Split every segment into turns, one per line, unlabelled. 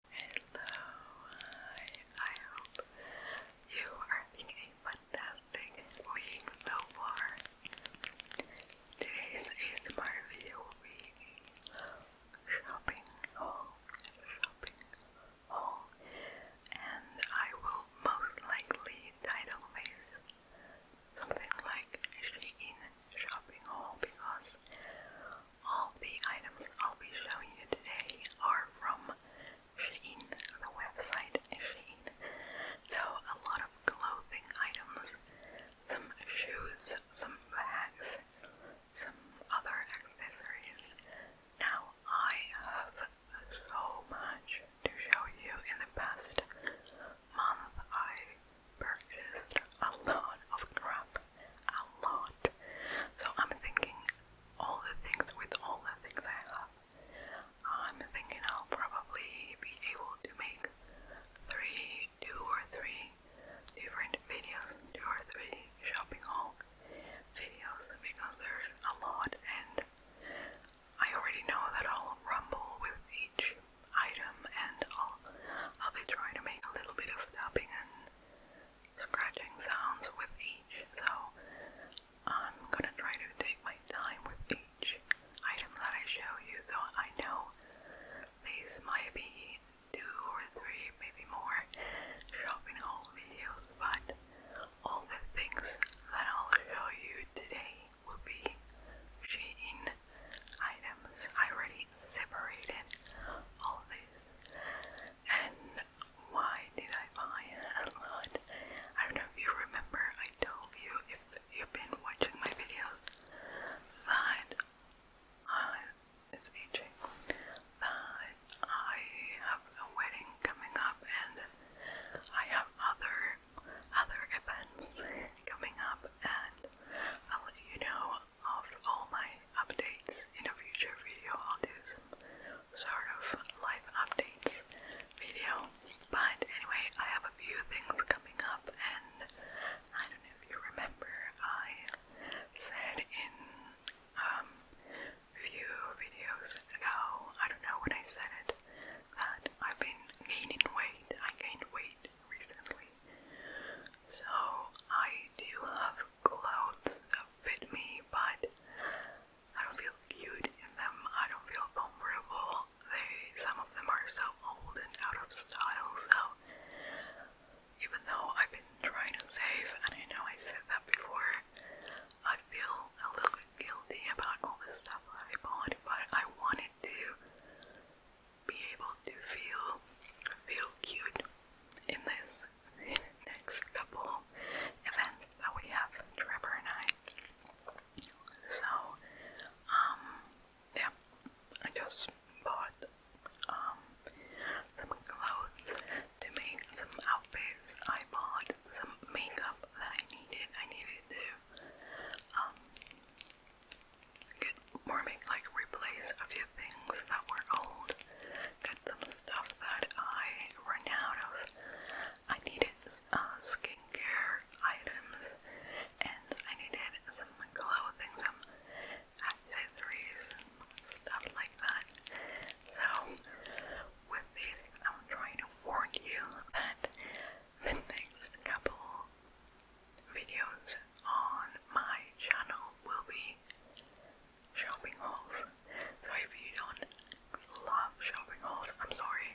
Hello, I hope you are having a fantastic week so far. Today's ASMR video shopping haul, shopping haul, and I will most likely title this something like Shein shopping haul because all the items I'll be showing you today are from Shein, the website Shein. So a lot of clothing items, some shoes, some bags, some other accessories. Now I have so much to show you in the past month I purchased a lot of crap a lot. So I'm thinking all the things with all the things I have. I'm thinking I'll probably be able to make three, two or three different videos, two or three shopping haul videos because there's a lot and I already know that I'll rumble with each item and I'll be trying to make a little bit of tapping and scratching sounds with each, so I'm gonna try to take my time with each item that I show you, Though I know these might be two or three, maybe more, shopping haul videos, but all the things that I'll show you today will be Shein items. I already separated all these and why did I buy a lot? I don't know if you remember, I told you if you've been watching my videos that I, it's aging, that I have a wedding coming up and I have other other events coming up and I'll let you know of all my updates. In a future video, I'll do some sort of life updates video. But anyway, I have a few things coming up, and I don't know if you remember, I said in um few videos ago, I don't know when I said it, that I've been gaining weight. I gained weight recently. So I do have clothes fit me, but I don't feel cute in them. I don't feel comfortable. They, some of them are so old and out of style. So even though I've been trying to save, and I know I said that before, I feel a little guilty about all the stuff I bought, but I wanted to be able to feel feel cute in this next couple events that we have, Trevor and I. So, um, yeah, I just bought um some clothes to make some outfits. I bought some makeup that I needed. I needed to um get more make like replace a few things that were old. Get some stuff that I ran out of. I needed uh, skincare items and I needed some clothing, some accessories, stuff like that. So, with this, I'm trying to warn you that the next couple videos on my channel will be shopping halls. So if you don't love shopping hauls, I'm sorry.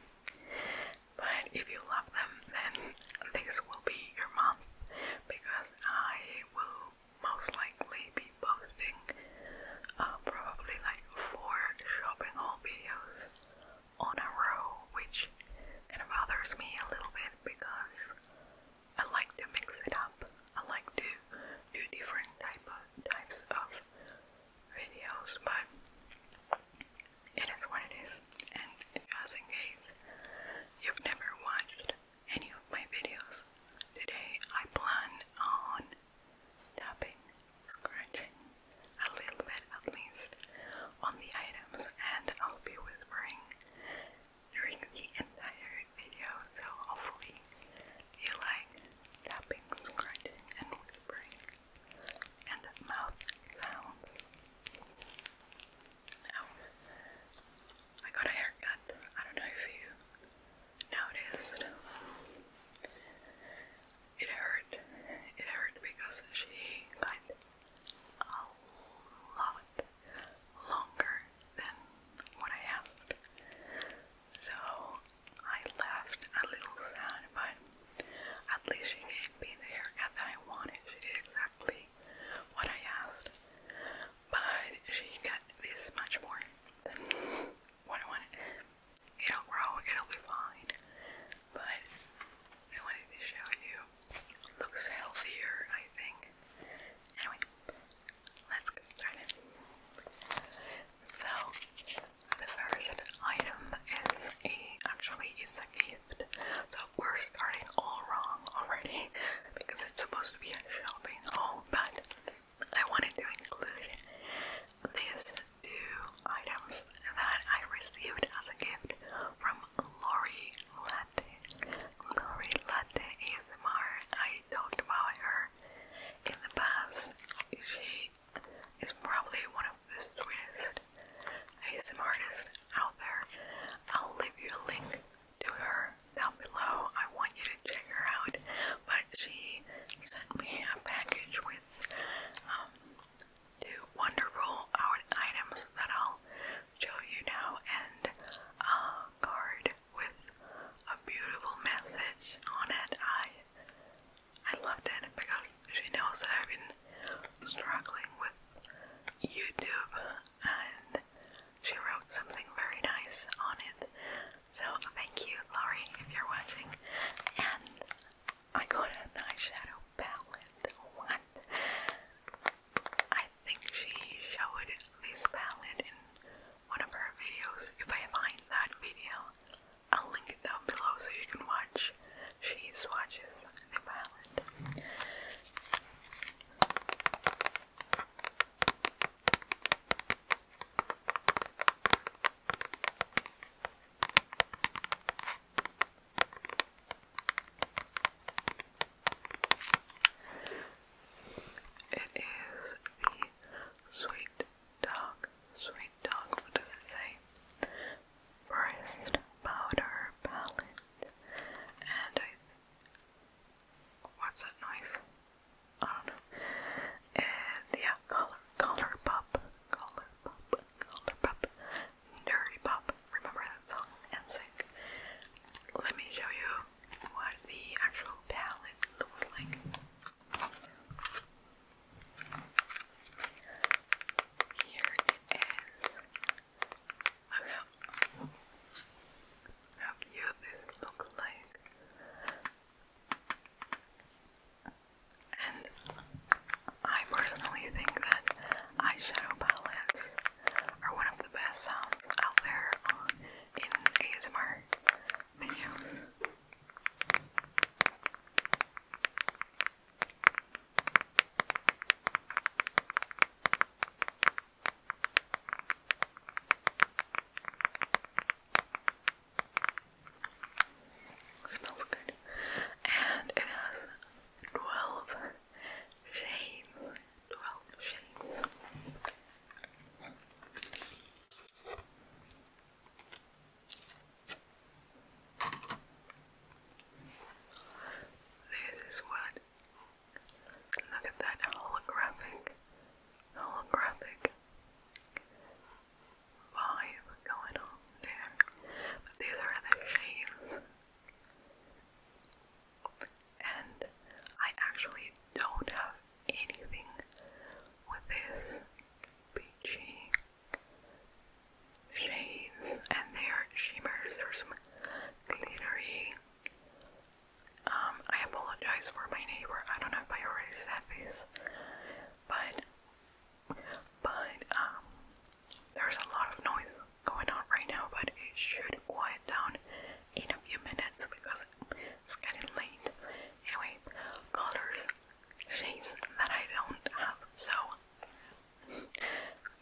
But if you love them, then this will be your month because I will most likely be posting uh, probably like four shopping haul videos on a row, which kind bothers me a little bit because I like to mix it up. I like to do different type of types of videos, but it is what it is. And just in case you've never watched any of my videos, today I plan on tapping, scratching a little bit at least on the items, and I'll be whispering during the entire video. So hopefully you like tapping, scratching, and whispering, and mouth sounds. Now, I got a haircut. I don't know if you noticed. It hurt. It hurt because she got a lot longer than what I asked. So I left a little sad, but at least she gave me the haircut that I wanted. She did exactly what I asked, but she got this much more than what I wanted. It'll grow, it'll be fine, but I wanted to show you. Looks healthier, I think. Anyway, let's get started. So, the first item is a actually it's a gift. So we're starting all wrong already because it's supposed to be a shopping haul, but I wanted to include these two items that I received as a gift from Lori Latte. Lori Latte ASMR. I talked about her in the past, she is probably one of the sweetest ASM artists out there. I'll leave you a link to her down below. I want you to check her out. But she sent me a package with um, two wonderful items that I'll show you now and a card with a beautiful message on it. I I loved it because she knows that I've been struggling with YouTube and she wrote something very nice on it. So thank you, Laurie, if you're watching. And I got an eyeshadow palette. What? I think she showed this palette in one of her videos. If I find that video, I'll link it down below so you can watch. She swatches the palette. It is the Sweet dog, sweet dog, what does it say? Breast powder palette. And What's that noise? I don't know. And yeah, color, color pop, color pop, color pop, dirty pop. Remember that song? And sync. Let me show you what the actual palette looks like. Here it is. Look how, cute this looks like. And I personally think that eyeshadow palettes are one of the best sounds out there on, in ASMR menu. Smells good. And it has 12 shades. 12 shades. This is what. Look at that holographic, holographic vibe going on there. But these are the shades. And I actually don't have anything with this peachy shades and their shimmers. There's some glittery. Um, I apologize for my neighbor. I don't know if I already said this, but but um, there's a lot of noise going on right now, but it should quiet down in a few minutes because it's getting late Anyway, colors, shades that I don't have. So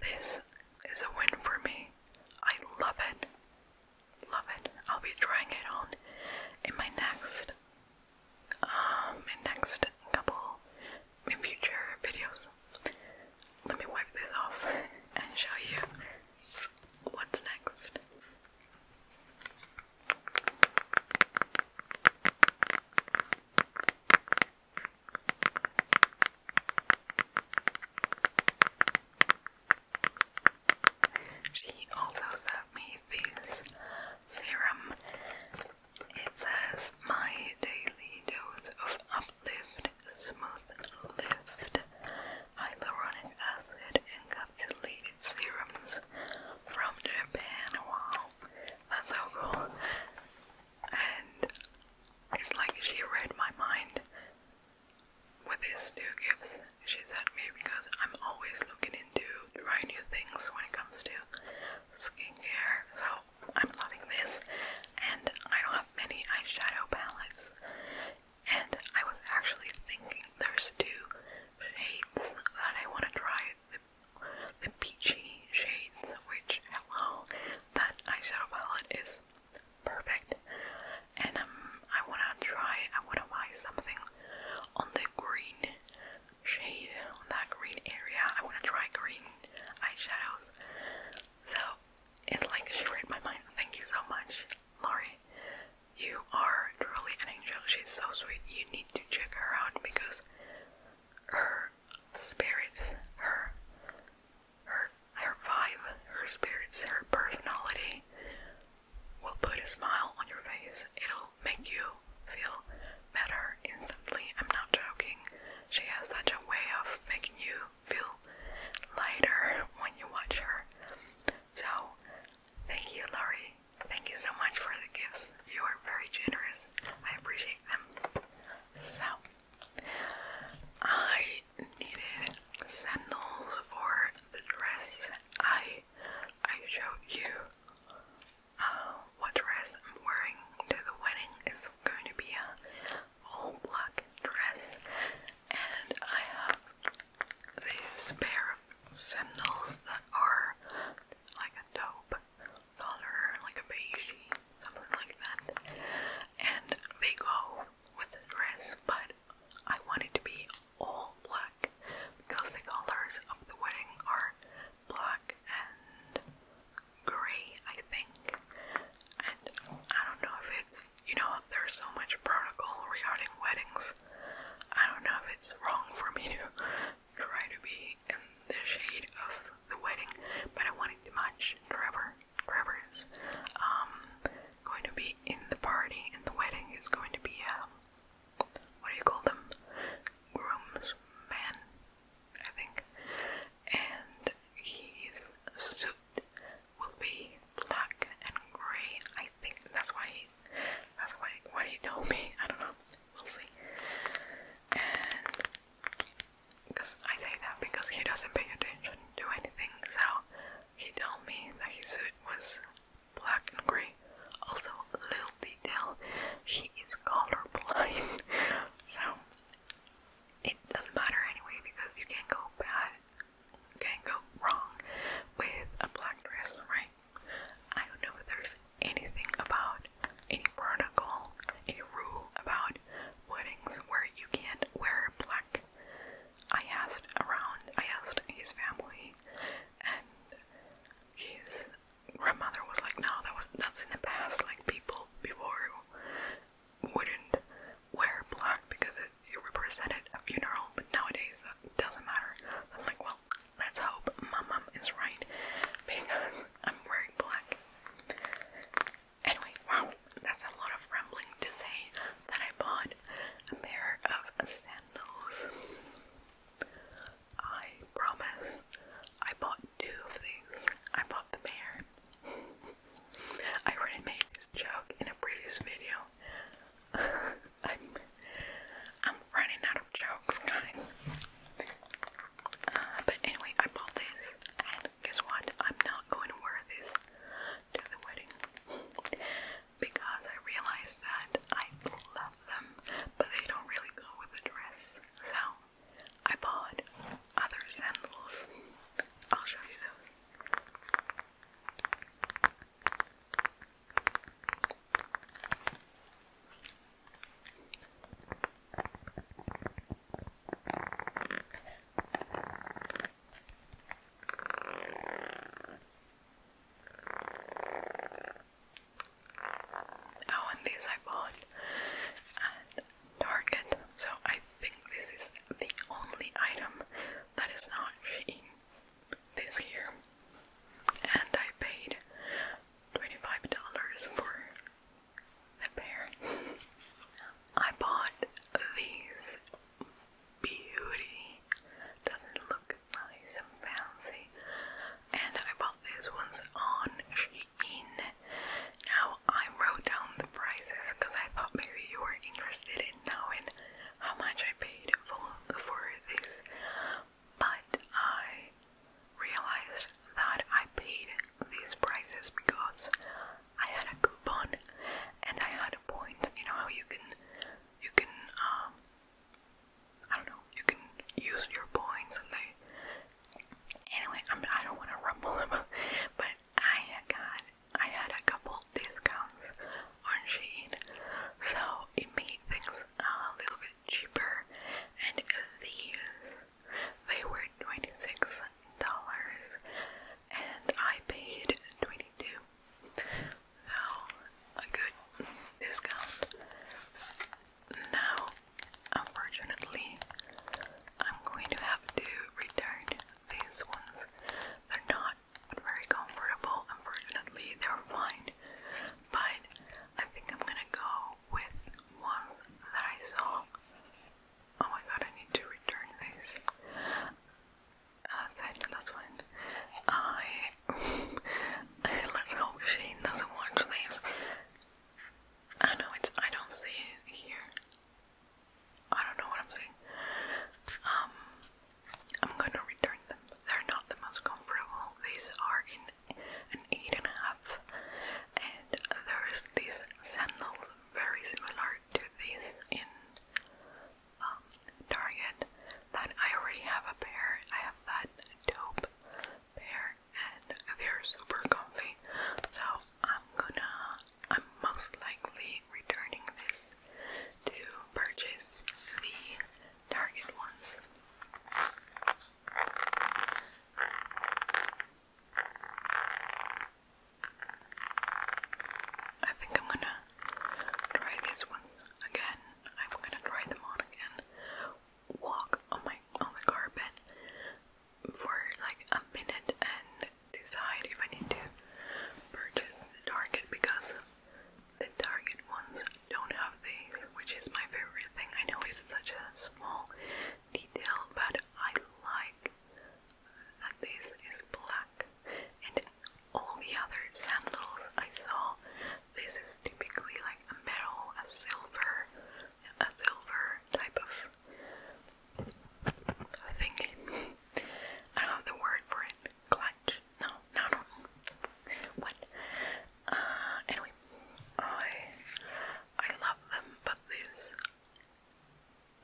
this is a win for me. I love it. Love it. I'll be trying it on in my next um next couple in future videos. Let me wipe this off and show you what's next. She also sent me this serum. It says my daily dose of uplift, smooth lift, hyaluronic acid, deleted serums from Japan. Wow, that's so cool. And it's like she read my mind with these two gifts she sent me because I'm always looking into trying new things when it comes to skincare. So I'm loving this, and I don't have many eyeshadow palettes. And I was actually thinking there's two shades that I want to try. The, the peachy shades, which, hello, that eyeshadow palette is perfect. And um, I want to try, I want to buy something on the green shade, on that green area. I want to try green eyeshadows. So, it's like she read my mind. Thank you so much, Lori, you are truly an angel. She's so sweet. You need to check her out because her spirits, her her her vibe, her spirits, her personality will put a smile on your face. It'll make you feel better instantly. I'm not joking. She has such a way of making you feel lighter when you watch her. So, thank you, Laurie, Thank you so much for the gifts. You are very generous. I appreciate them. So, I needed sandals for the dress. I I showed you uh, what dress I'm wearing to the wedding. It's going to be a all black dress, and I have this pair are that are like a taupe color, like a beige, something like that. And they go with the dress, but I want it to be all black because the colors of the wedding are black and grey, I think. And I don't know if it's you know, there's so much protocol regarding weddings I don't know if it's wrong for me to try to be in the shade of the wedding, but I wanted to match Trevor. Trevor's um, going to be in the party, and the wedding is going to be um, what do you call them? Groomsman, I think. And his suit will be black and grey. I think that's why that's why why he told me. I don't know. We'll see. And because I say that because he doesn't pay attention to anything, so he told me that his suit was black and grey. Also, a little detail, he is colorblind, so it doesn't matter anyway because you can't go bad, you can't go wrong with a black dress, right? I don't know if there's anything about any protocol, any rule about weddings where you can't wear black. I asked around, I asked his family, and his grandmother was like, "No, that was that's in the past. Like people before wouldn't wear black because it, it represented a funeral, but nowadays that doesn't matter." I'm like, "Well, Let's hope my mom is right because I'm wearing black. Anyway, wow, that's a lot of rambling to say that I bought a pair of sandals. I promise I bought two of these. I bought the pair. I already made this joke in a previous video. I'm I'm running out of jokes, guys. Uh, but anyway, I bought this, and guess what? I'm not going to wear this to the wedding because I realized that I love them, but they don't really go with the dress. So I bought other sandals. I'll show you those. Oh, and these I bought at Target, so I think this is the only item that is not Shein this here, and I paid twenty-five dollars for the pair. I bought these beauty. Doesn't look nice and fancy. And I bought these ones on Shein. Now I wrote down the prices because I thought maybe you were interested in knowing how much I paid for, for these but I realized that I paid these prices because I had a coupon and I had points. You know how you can, you can, um, I don't know, you can use your points and they. Anyway, I'm, I do not want to rumble them. but I got, I had a couple discounts on Shein, so it made things a little bit cheaper and these they were $26 and I paid 22 so a good discount. Now unfortunately I'm going to have to return these ones. They're not very comfortable, unfortunately, they're fine. But I think I'm gonna go with one that I saw. Oh my god, I need to return this. Uh, that's it, that's one. I. Let's hope Shane doesn't watch this. I know it's. I don't see it here. I don't know what I'm saying. Um, I'm gonna return them. They're not the most comparable. These are in an eight and a half. And there's these sandals very similar to these in um, Target that I already have a pair. I have that dope pair and they're super comfy. So I'm gonna I'm most likely returning this to purchase the Target ones. I think I'm gonna try these ones again. I'm gonna try them on again. Walk on my on the carpet for like a minute and decide if I need to purchase Target because the Target ones don't have these, which is my favorite thing. I know it's such a small detail, but I like that this is black. And all the other sandals I saw, this is typically like a metal, a silver, a silver type of thing. I don't have the word for it. Clutch? No, no, no. What? Uh, anyway, I I love them, but this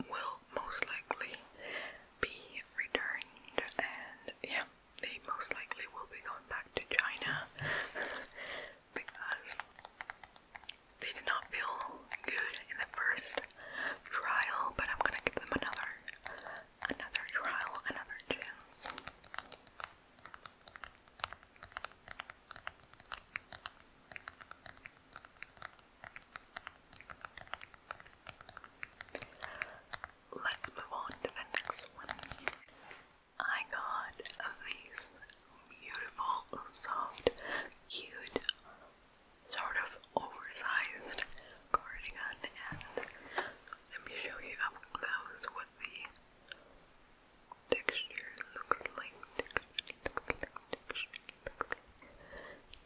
will most likely be returned, and yeah, they most likely will be going back to China because they did not feel good in the first trial. But I'm gonna give them another another trial, another chance. Let's move on to the next one. I got these beautiful, soft, cute, sort of oversized cardigan, and let me show you up close what the Texture looks like texture looks like texture looks like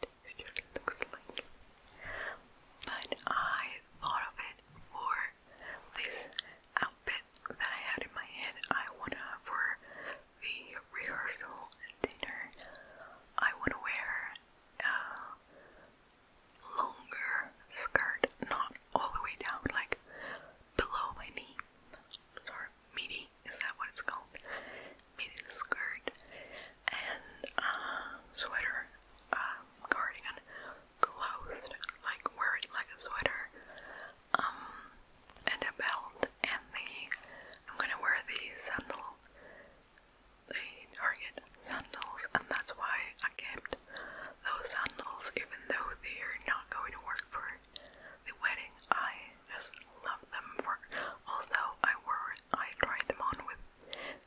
texture looks like but I thought of it for this outfit that I had in my head I wanna for the rehearsal dinner I wanna wear uh, longer skirt, not all the way down, like below my knee. Sorry, midi, is that what it's called? Midi skirt and uh, sweater, cardigan, um, closed, like wear it like a sweater, um, and a belt, and the, I'm gonna wear the sandal, the Target sandals, and that's why I kept those sandals, even though they're not going to work for the wedding, I just love them for. Also, I wore, I tried them on with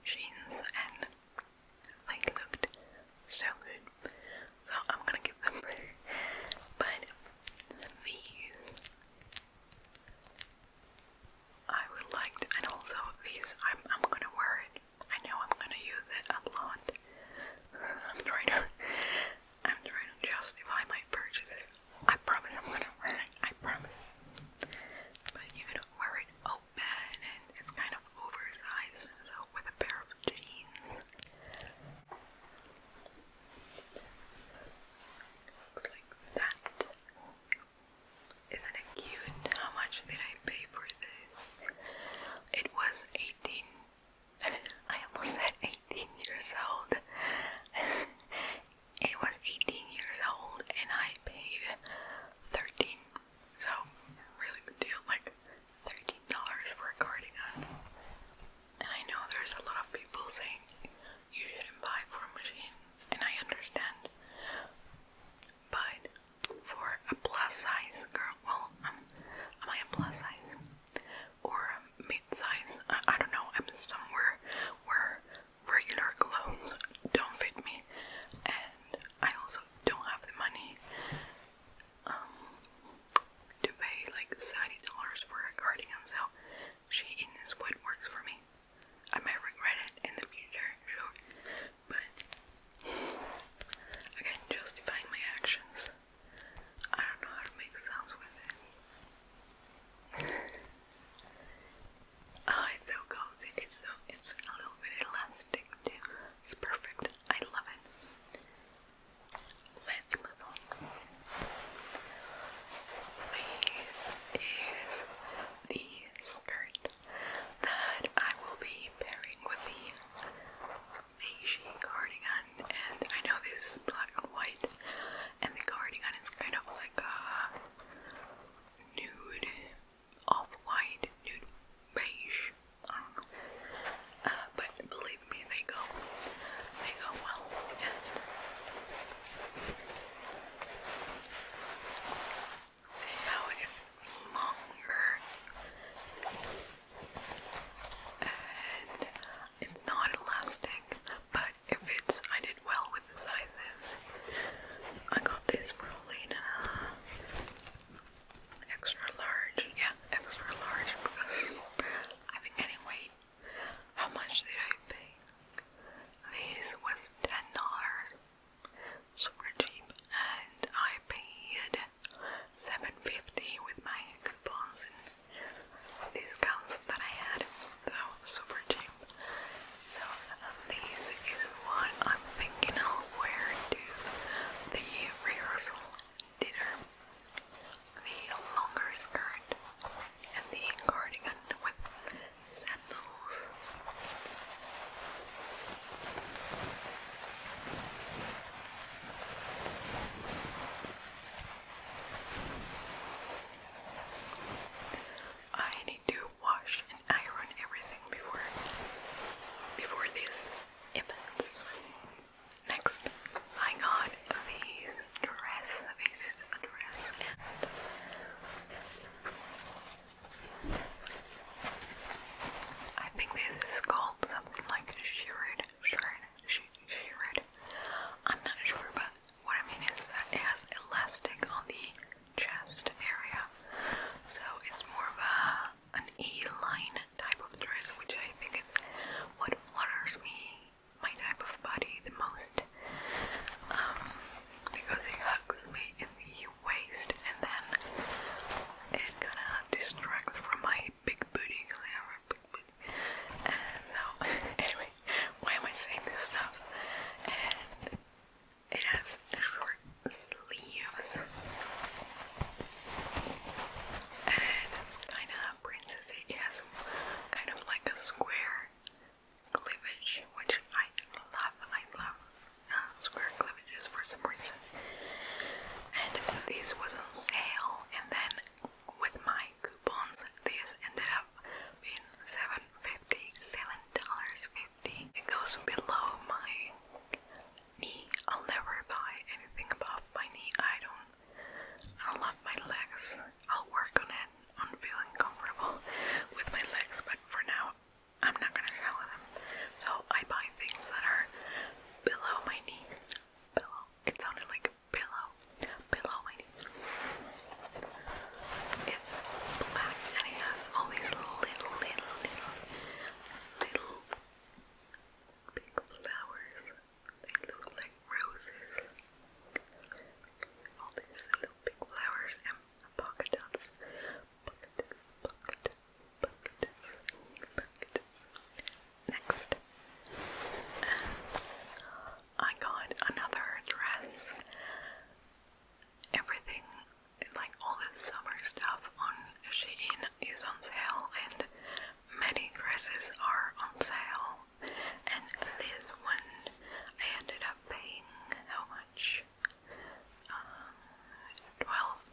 jeans and they looked so good. So I'm gonna give them. but these, I would like, and also these, I'm I'm gonna wear it I know I'm gonna use it a lot. I'm trying to I'm trying to justify my purchases. I promise I'm gonna wear it. I promise. But you're gonna wear it open and it's kind of oversized, so with a pair of jeans. Looks like that. Isn't it cute? How much did I pay for this? It was eighteen I almost said 18 years old. it was 18 years old and I paid 13. So, really good deal. Like $13 for a cardigan. And I know there's a lot of people saying you shouldn't buy for a machine, and I understand. But for a plus size girl. Well, um, am I a plus size or a mid size? I, don't know. I'm somewhere where regular clothes don't fit me, and I also don't have the money um, to pay like thirty dollars for a cardigan. So she this, what works for me. I might regret it in the future, sure, but I can justify my actions. I don't know how to make sounds with it. oh, it's so cozy. It's so it's a little bit elastic too. It's perfect. I love it. Let's move on. This is the skirt that I will be pairing with the beigey cardigan, and I know this is black and white, and the cardigan is kind of like a nude, off-white, nude beige. I don't know. Uh, but believe me, they go, they go well. see how it's longer it's not elastic, but if it's, I did well with the sizes. I got this probably extra large, yeah, extra large because I think anyway, how much did I pay? This was ten dollars, super cheap, and I paid 750 with my coupons and discounts that I had. Though super cheap. So um, this is what I'm thinking of where to the rehearsal dinner. The longer skirt and the cardigan with sandals. I need to wash and iron everything before before this happens. Next, I got these dress. This is a dress I think this is called something like a shirt. Shrine. She, she read. I'm not sure, but what I mean is that it has elastic on the chest area, so it's more of a an E-line type of dress, which I think is what flutters me, my type of body, the most, um, because it hugs me in the waist, and then it kind of distracts from my big booty because I big booty. And anyway, why am I saying this stuff? And it has short sleeves, and it's kind of princessy. It has kind of like a square cleavage, which I love. I love uh, square cleavages for some reason and this was on sale and then with my coupons this ended up being seven fifty, seven dollars fifty. It goes below my knee. I'll never buy anything above my knee. I don't I love my legs. I'll work on it I'm feeling comfortable with my legs, but for now I'm not gonna show them. So I buy things that are below my knee pillow. It sounded like pillow, pillowing. It's black and it has all these little, little, little, little big flowers. They look like roses. All these little big flowers and polka dots. Polka dots, polka dots, Bucketus, bucketus. Next, I got another dress. Everything, like all this summer stuff on Shein is on sale and many dresses are on sale. And this one I ended up paying how much? Um,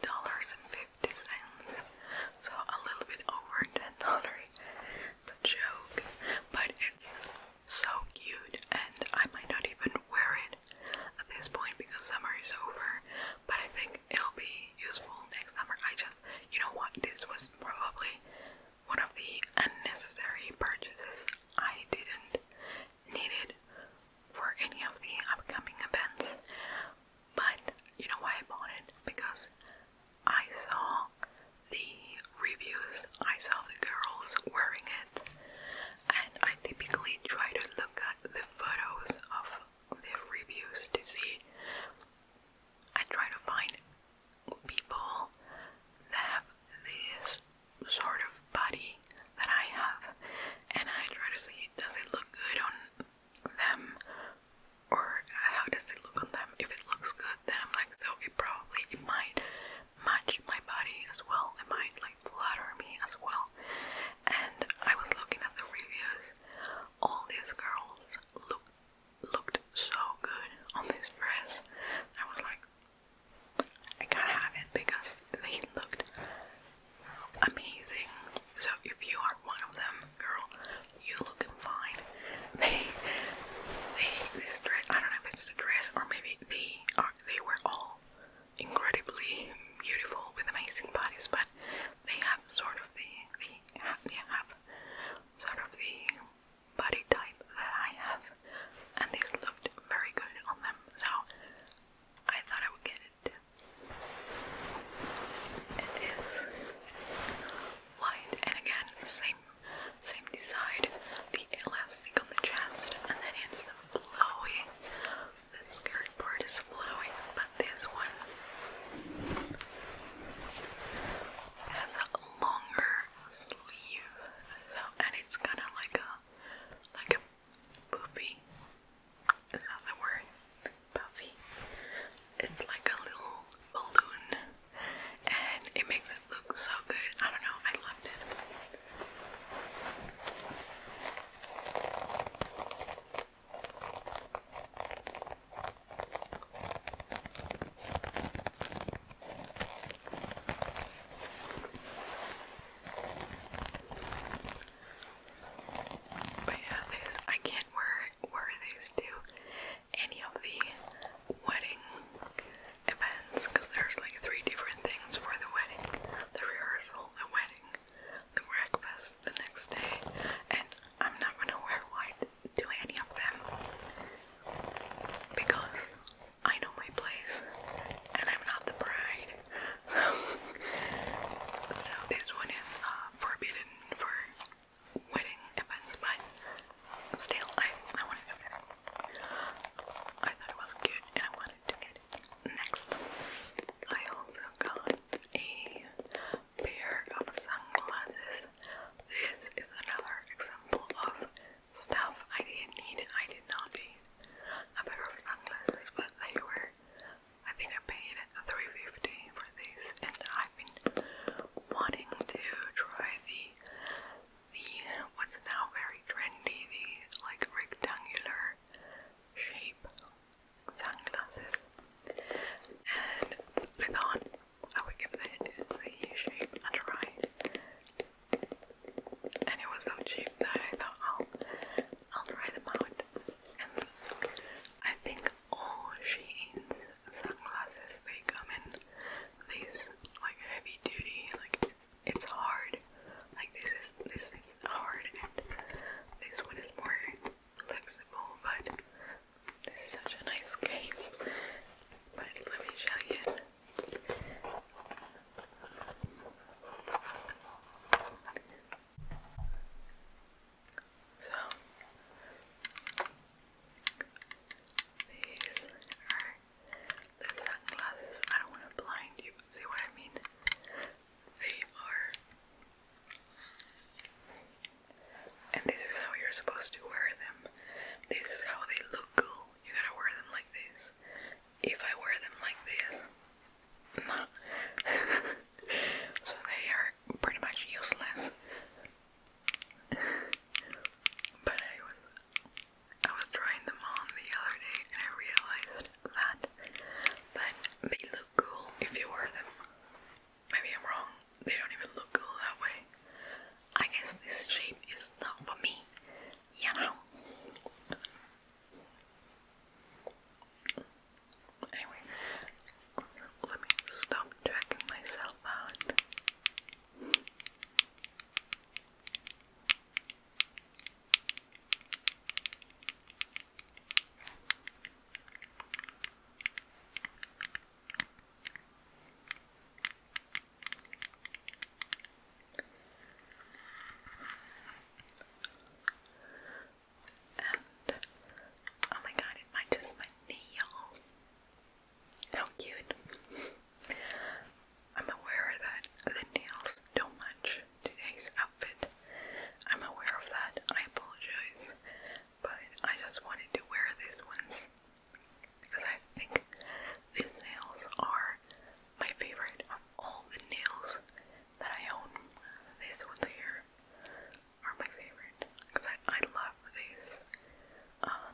$12.50 cents. So a little bit over $10. It's joke, but it's so cute, and I might not even wear it at this point because summer is over. But I think it'll be useful next summer. I just, you know what, this was probably one of the unnecessary purchases. I didn't need it for any of the upcoming events, but you know why I bought it? Because I saw the reviews, I saw the girls wearing it, and I typically try to look at the photos of the reviews to see. I try to find people that have this sort of body that I have, and I try to see does it look good on them or how does it look on them if it looks good then I'm like so it probably it might match my body as well it might like flatter me as well and I was looking at the reviews all these girls look looked so good on this dress I was like I gotta have it because they looked amazing so if you are one of them girl, you looking fine. They, they, this dress, I don't know if it's the dress or maybe they are, they were all incredibly beautiful with amazing bodies, but they have sort of the, they have sort of the body type that I have, and this looked very good on them, so I thought I would get it. It is white, and again, same same design. The elastic on the chest, and then it's the flowy. The skirt part is flowy, but this one has a longer sleeve. So, and it's kind of like a like a poofy. Is that the word? puffy. It's like a little balloon and it makes it look so good. I don't know, I loved it. But yeah, this I can't wear were these to any of the wedding events because there's like three different things for the wedding the rehearsal, the wedding, the breakfast the next day, and I'm not gonna wear white to any of them because I know my place and I'm not the bride. So, so this one is uh, forbidden for winning events, but still, I, I wanted to get it. I thought it was good and I wanted to get it. Next, I also got a pair of sunglasses. This is another example of stuff I didn't need, I did not need a pair of sunglasses, but they were. I think I paid 350 for these, and I I've been wanting to try the the what's now very trendy, the like rectangular shape sunglasses. And I thought I would give the, the shape a try. And it was so cheap that I thought I'll I'll try them out. And I think all Shein's sunglasses, they come in these like heavy duty, like it's it's hard. Like this is this is hard and this one is more flexible but this is such a nice case. But let me show you. So, these are the sunglasses. I don't want to blind you, see what I mean? They are. And this is how you're supposed to wear them. This is how they look cool. You gotta wear them like this. If I wear them like this, no. so they are pretty much useless but I was I was trying them on the other day and I realized that that they look cool if you wear them. Maybe I'm wrong. They don't even look cool that way. I guess this shape is not for me, you know. Anyway, let me stop dragging myself out. And oh my god, it might just my nail. How cute. I'm aware that the nails don't match today's outfit. I'm aware of that. I apologize. But I just wanted to wear these ones because I think these nails are my favorite of all the nails that I own. These ones here are my favorite because I, I love these uh,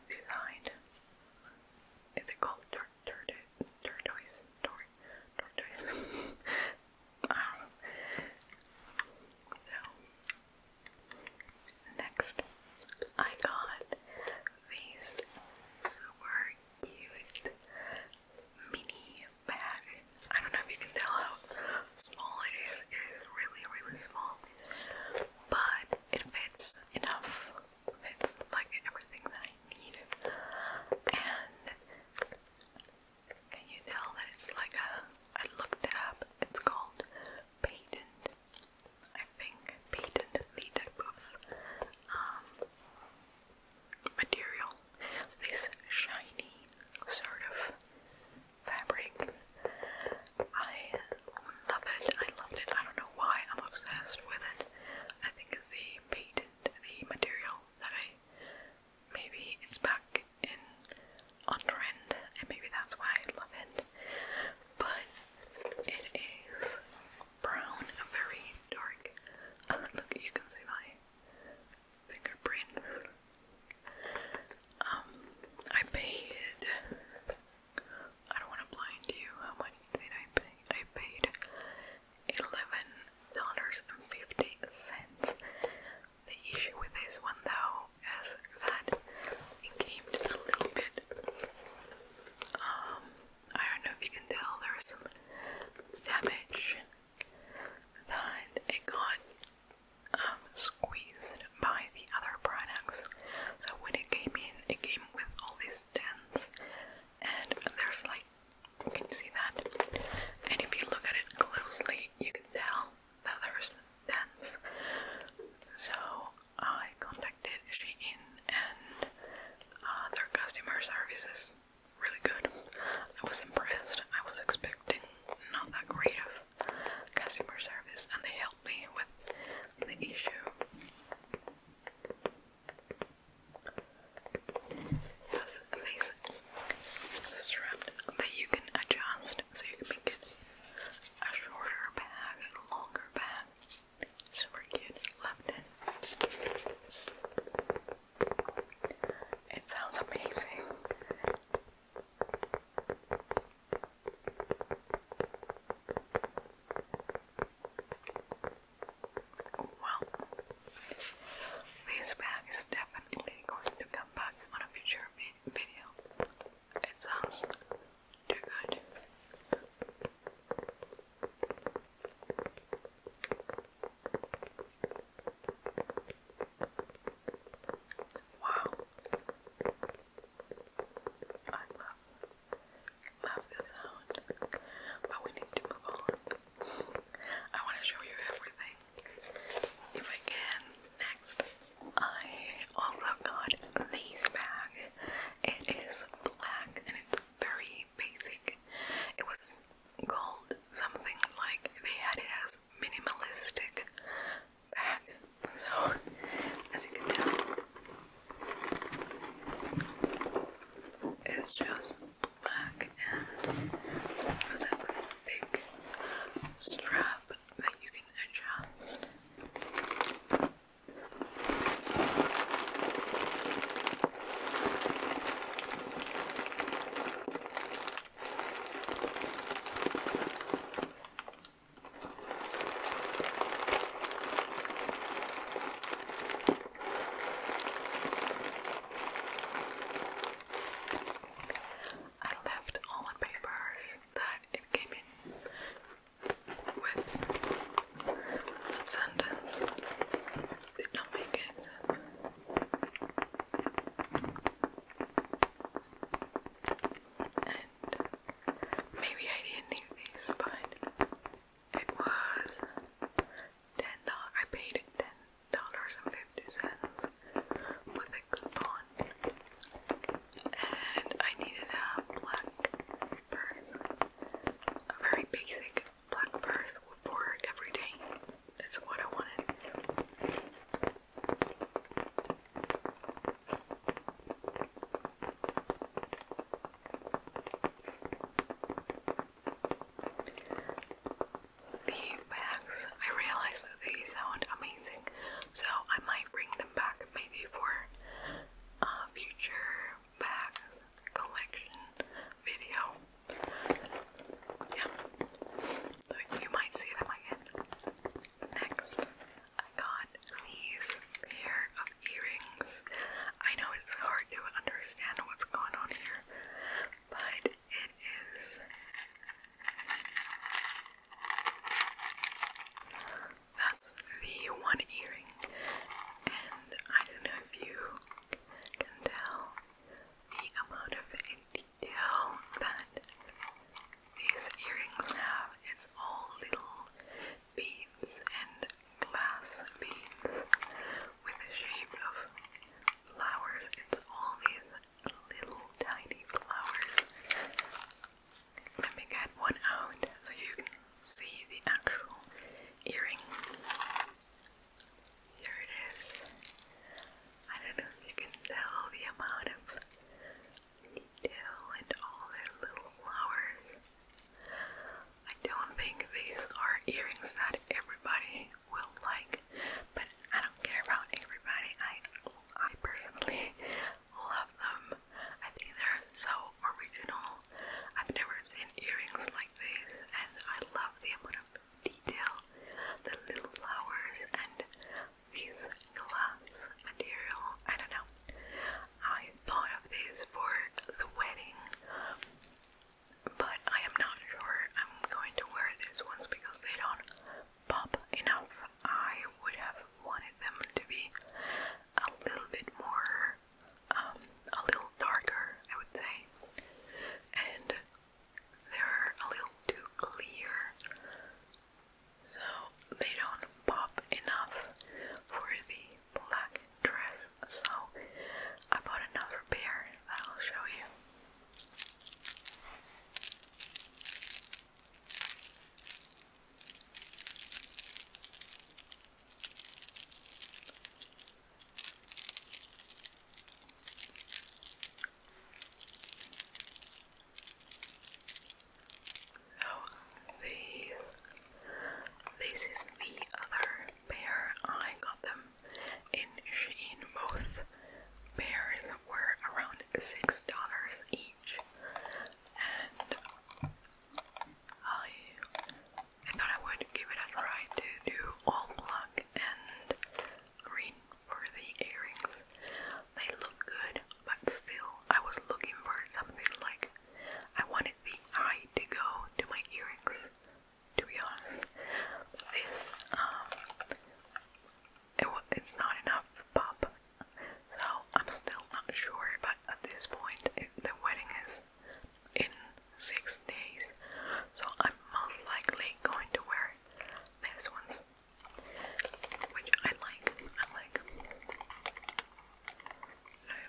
Is it called tur tur turquoise? Tur turquoise? I do So, next, I got these super cute mini bag. I don't know if you can tell how small it is. It is really, really small but it fits enough. It like everything that I need. And can you tell that it's like a? I looked it up. It's called patent. I think patent the um, material. This shiny sort of fabric. I love it. I loved it. I don't know why I'm obsessed with it. I think the patent, the material that I maybe is back in on trend, and maybe that's why I love it. But it is brown, very dark. look, you can see my fingerprints. Um, I paid. I don't want to blind you. How much did I pay? I paid eleven dollars and fifty cents. The issue with this one, though, is that it came a little bit. Um, I don't know if you can tell. There's some damage that it got um, squeezed by the other products. So when it came in, it came with all these dents, and there's like, can you see that? And if you look at it closely, you can tell that there's dents. So I contacted Shein and uh, their customer services really good. I was impressed. I was expecting not that great of customer service and they helped me with the issue. It has strap that you can adjust so you can make it a shorter bag, a longer bag. Super cute. Loved it. It sounds amazing. Oh, well, this bag is definitely going to come back on a future video. It sounds too good. Wow. I love, love the sound, but we need to move on. I want to show you everything, if I can. Next, I also got this bag. It is black and it's very basic. It was called something like they had it as minimalistic back. So, as you can tell, it's just black and was that thick strap that you can adjust. I left all the papers that it came in with that sentence did not make sense maybe I didn't need these, but it was ten dollars. I paid ten dollars and fifty cents with a coupon, and I needed a black purse, a very basic black purse for every day. That's what I wanted. The bags, I realize that they sound amazing, so I might bring them back maybe for a future bag collection video. Yeah, so you might see them again. Next, I got these pair of earrings. I know it's hard to understand what's going on here, but it is that's the one earring, and I don't know if you can tell the amount of detail that these earrings have its all little beads and glass beads with the shape of flowers. It's all these little tiny flowers. Let me get one out so you can see the actual earring. Here it is. I don't know if you can tell the amount of and all their little flowers. I don't think these are earrings that everybody will like, but I don't care about everybody. I I personally love them. I think they're so original. I've never seen earrings like this and I love the amount of detail, the little flowers and these glass material. I don't know. I thought of these for the wedding, but I am not sure I'm going to wear these ones because they don't pop enough. I would have wanted them to be a little bit more, um, a little darker, I would say. And they're a little too clear so they don't pop enough for the black dress. So I bought another pair that I'll show you. Oh, these. This is the other pair. I got them in Shein. Both pairs were around six dollars each, and I thought I would give it a try to do all black and green for the earrings. They look good, but still I was looking for something like I wanted the eye to go to my earrings, to be honest. this, um, it's not enough pop, so I'm still not sure. But at this point, the wedding is in six days, so I'm most likely going to wear these ones, which I like. I like.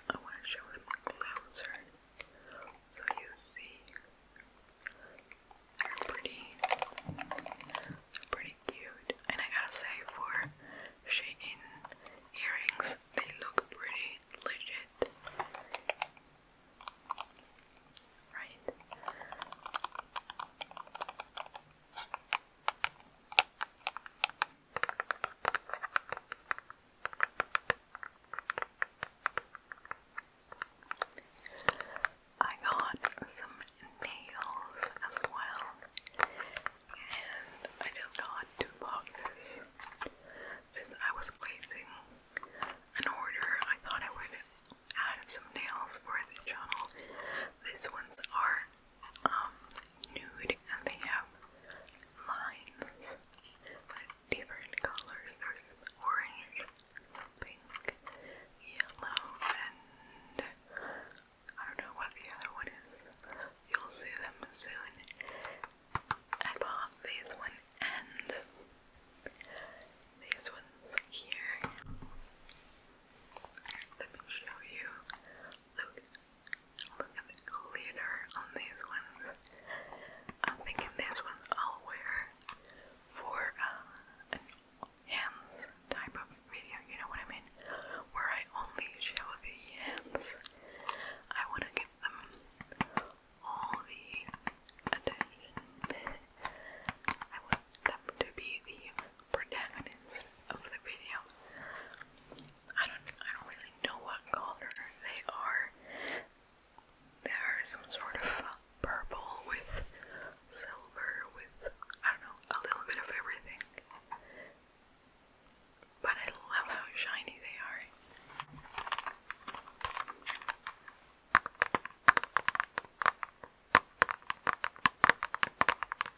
I, want to show them closer so you see. They're pretty, pretty cute. And I gotta say, for Shein earrings, they look pretty legit. Right? I got some nails as well, and I just got two boxes. Since I was placing an order, I thought I would add some nails for the channel. These ones are um, nude they have lines with different colors. There's orange, pink, yellow, and I don't know what the other one is. You'll see them soon. I bought this one and these ones here. Let me show you. Look Look on these ones. I'm thinking these ones I'll wear for uh, hands type of video, you know what I mean? Where I only show the hands. I want to give them all the attention. I want them to be the protagonist of the video. I don't I don't really know what color they are. They are some sort of purple with silver with I don't know, a little bit of everything. But I love how shiny they are.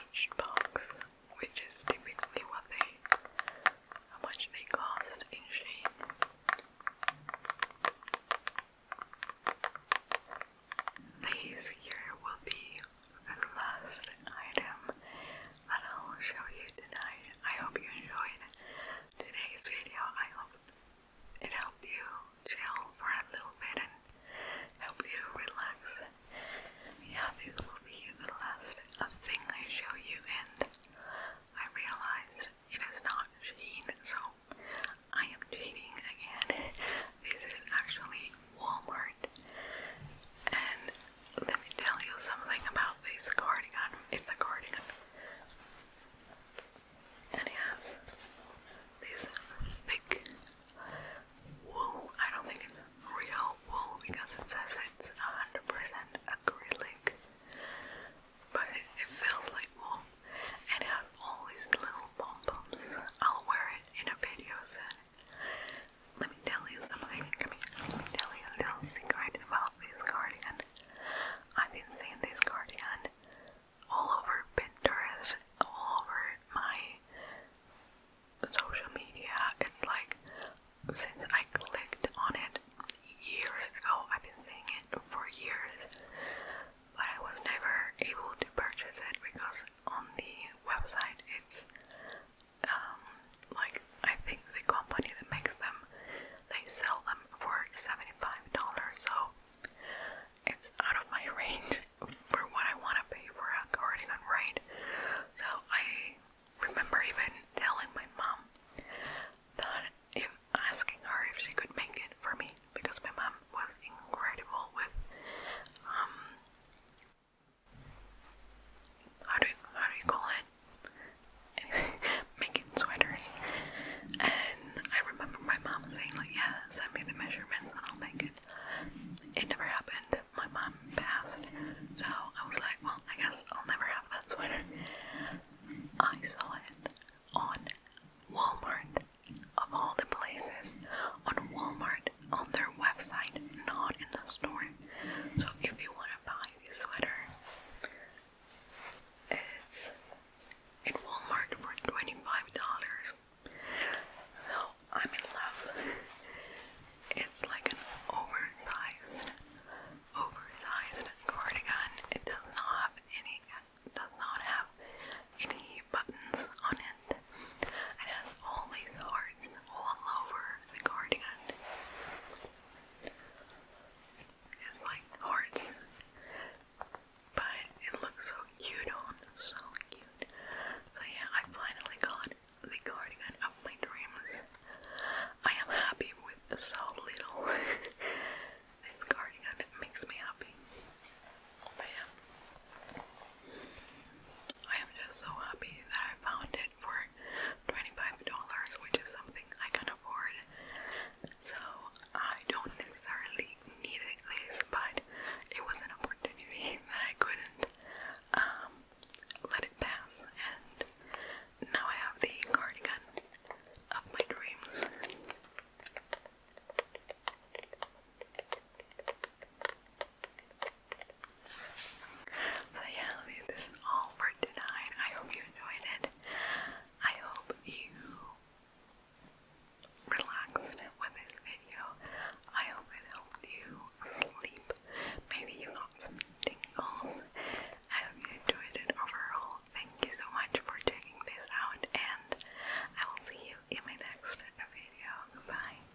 each box, which is typically what they, how much they cost in Shein. These here will be the last item that I'll show you tonight. I hope you enjoyed today's video. I hope it helped you chill for a little bit and helped you relax yeah, this will be the last thing I show you, and I realized it is not Sheen, so I am cheating again. This is actually Walmart, and let me tell you something about this cardigan. It's a cardigan, and it has this thick wool. I don't think it's real wool because it says it's 100% acrylic, but it, feels like wool and it has all these little pom I'll wear it in a video Let me tell you something. Come here. tell you a little about this cardigan. I've been seeing this cardigan all over Pinterest, all over my social media. It's like since I clicked on it years ago, I've been seeing it for years, but I was never able to purchase it because on the website it's um, like I think the company that makes them they sell them for seventy-five dollars, so it's out of my range for what I want to pay for a cardigan, right? So I remember even telling my mom that if asking her if she could make it for me because my mom was incredible with um how do how do you call it? making sweaters. And I remember my mom saying like, yeah, send me the measurements and I'll make it. It never happened my mom passed. So I was like, well, I guess I'll never have that sweater. I saw it on Walmart, of all the places, on Walmart, on their website, not in the store. So if you want to buy this sweater, it's at Walmart for $25. So I'm in love. It's like an oversized, oversized cardigan. It does not have any, does not have any buttons on it. It has all these hearts all over the cardigan. It's like hearts, but it looks so cute on, so cute. So yeah, I finally got the guardian of my dreams. I am happy with so little. this guardian makes me happy. Man. I am just so happy that I found it for $25, which is something I can afford. So I don't necessarily need this, but it was an opportunity that I couldn't um, let it pass, and now I have the cardigan of my dreams. So yeah, this is all for tonight. I hope you enjoyed it. I hope you relaxed with this video. I hope it helped you sleep. Maybe you lots tingles. I hope you enjoyed it overall. Thank you so much for checking this out, and I will see you in my next video. Bye.